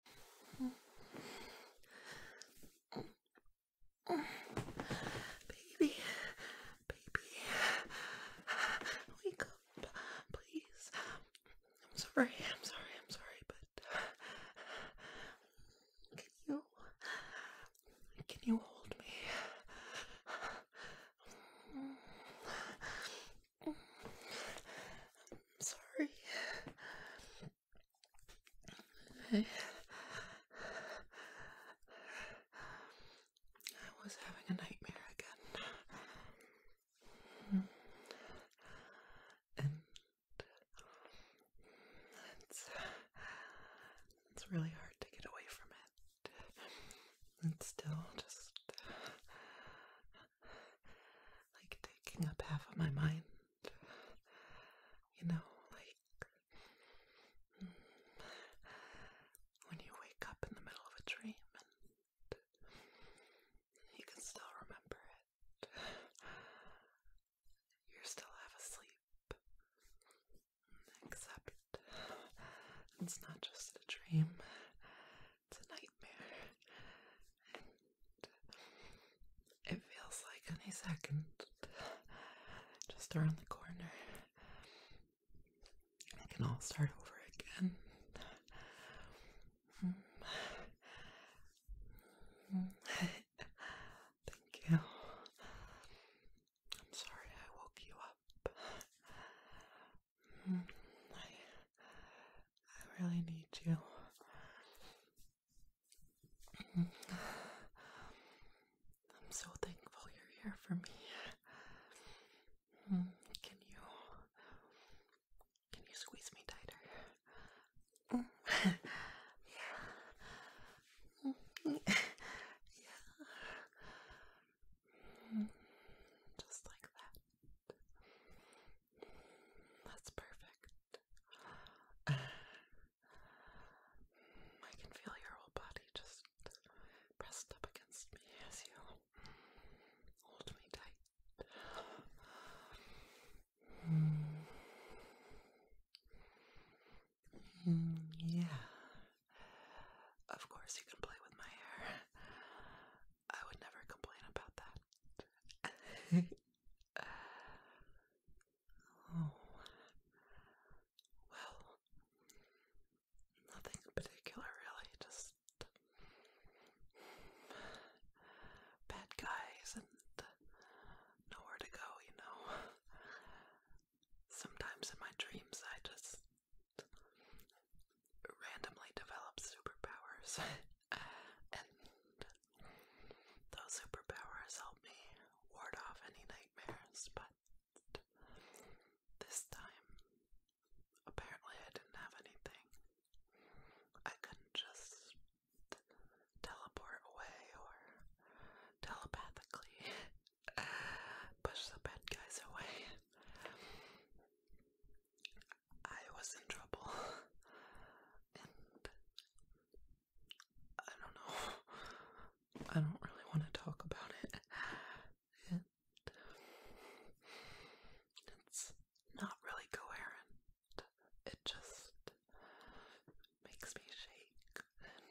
Baby, baby, wake up, please. I'm sorry, I'm sorry, I'm sorry, but can you, can you hold me? I'm sorry. I, was having a nightmare again. And it's, it's really hard to get away from it. It's still just like taking up half of my mind. You know, like when you wake up in the middle of a dream and you can still remember it. You're still half asleep. Except it's not just a dream, it's a nightmare. It feels like any second, just around the corner, it can all start over again. Thank you. I'm sorry I woke you up. I really need you. I'm so thankful you're here for me. Hmm, can you can you squeeze me tighter? yeah. yeah. Hmm, just like that. That's perfect. I can feel your whole body just pressed up against me as you hold me tight. yeah. Of course, you can play with my hair. I would never complain about that. Oh. Well, nothing particular, really. Just bad guys and nowhere to go, you know. Sometimes in my dreams, I just randomly develop superpowers. and those superpowers help me ward off any nightmares, but this time, apparently, I didn't have anything. I couldn't just teleport away or telepathically push the bad guys away. I was in trouble, and I don't know. I don't really want to talk about it. it it's not really coherent. It just makes me shake and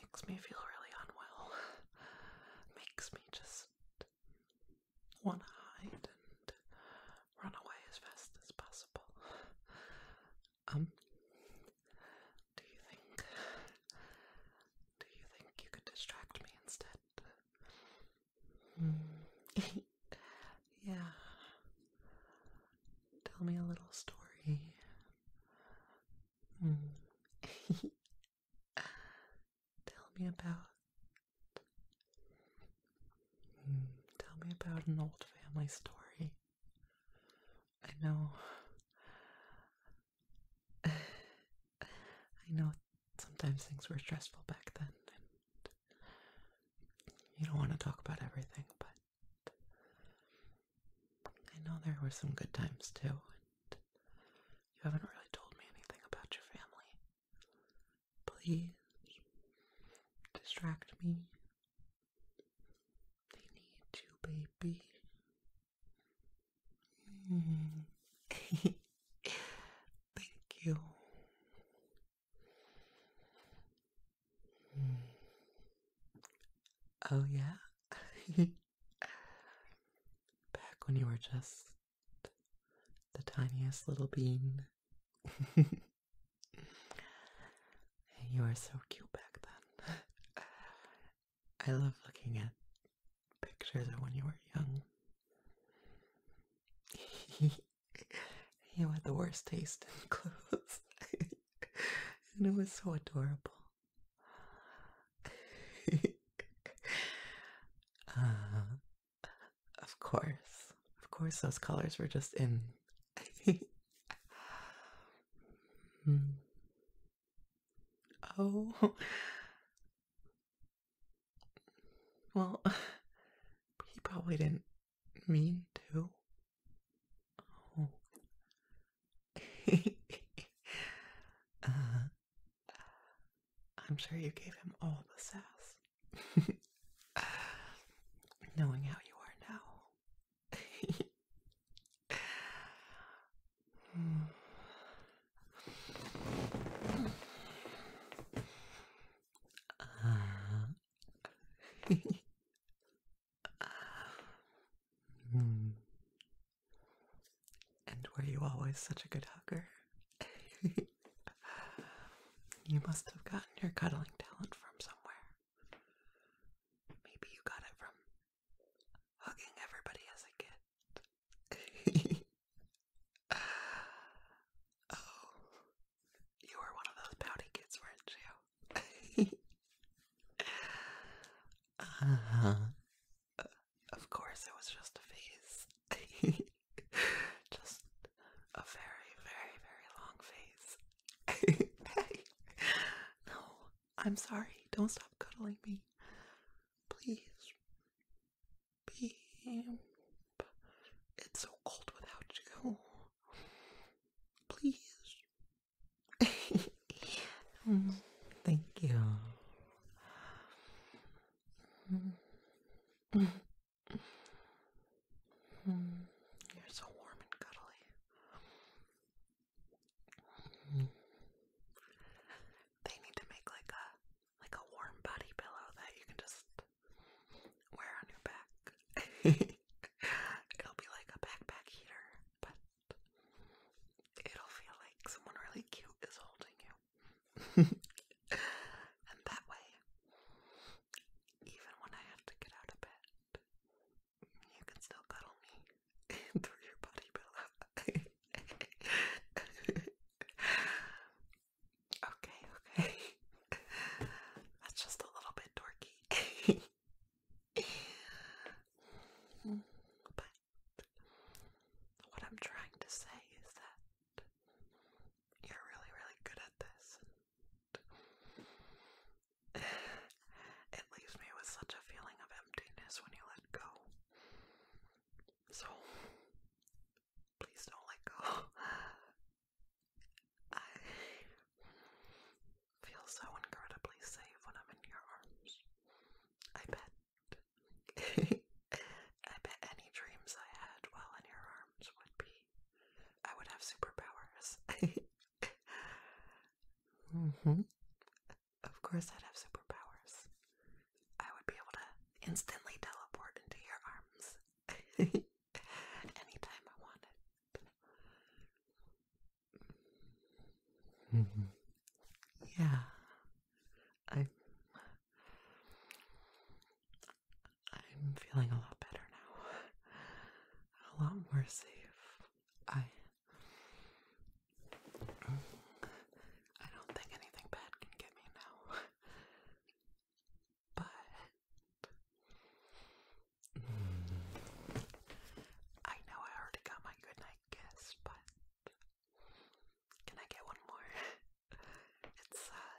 makes me feel really unwell. Makes me just want to hide and run away as fast as possible. Um, do you think? Do you think you could distract me instead? Mm. yeah. Tell me a little story. Mm. Tell me about tell me about an old family story. I know. I know sometimes things were stressful back then, and you don't want to talk about everything, but I know there were some good times too. you haven't really told me anything about your family. Please distract me. They need you, baby. Thank you. Oh, yeah? Back when you were just the tiniest little bean. You were so cute back then. I love looking at pictures of when you were young. you had the worst taste in clothes, and it was so adorable. uh, of course. Of course, those colors were just in. oh. Well, he probably didn't mean to. Oh. I'm sure you gave him all the sass. Knowing how you are now. And were you always such a good hugger? You must have gotten your cuddling talent from somewhere. Maybe you got it from hugging everybody as a kid. oh, you were one of those pouty kids, weren't you? uh huh. of course, it was just a phase. Just a very, very, very long face. hey, no, I'm sorry. Don't stop cuddling me. Please. Beep. It's so cold without you. Please. Thank you. Mm. You're so warm and cuddly. They need to make like a like a warm body pillow that you can just wear on your back. It'll be like a backpack heater, but it'll feel like someone really cute is holding you. and that way, even when I have to get out of bed, you can still cuddle me through your body pillow. okay, okay. That's just a little bit dorky. but what I'm trying to say is that you're really, really good at this. it leaves me with such a feeling of emptiness when you let go. So, please don't let go. I feel so incredibly safe when I'm in your arms. I bet. I bet any dreams I had while in your arms would be I would have superpowers. mm-hmm. Of course, I'd have superpowers. I would be able to instantly teleport into your arms anytime I wanted. Mm-hmm. Yeah, I. I'm feeling a lot better now. A lot more safe. I I don't think anything bad can get me now. But I know I already got my goodnight kiss, but can I get one more? It's uh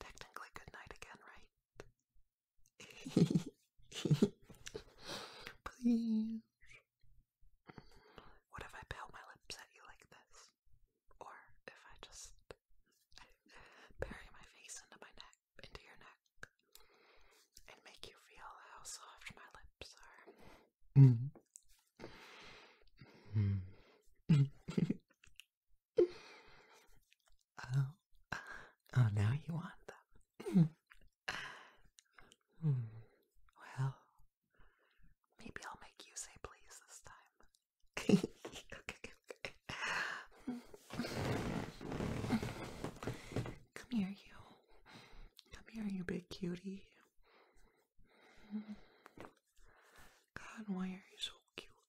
Technically, good night again, right? Please. What if I pale my lips at you like this? Or if I just bury my face into my neck, into your neck, and make you feel how soft my lips are? Mm -hmm. Mm -hmm. Oh, oh, now you want them. Hmm. Well, maybe I'll make you say please this time. Come here, you. Come here, you big cutie. God, why are you so cute?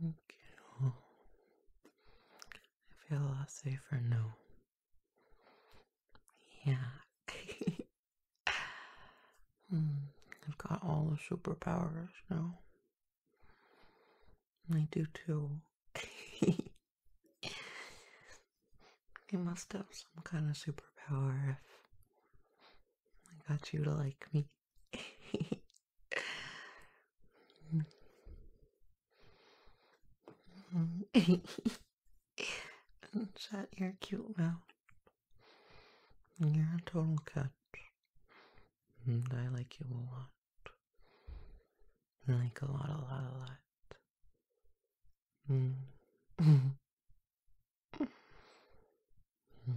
Thank you. I feel a lot safer now. Yeah. mm, I've got all the superpowers now. I do too. you must have some kind of superpower if I got you to like me. Shut You're cute mouth. You're a total cut. And I like you a lot. like a lot, a lot, a lot. Mm. Mm.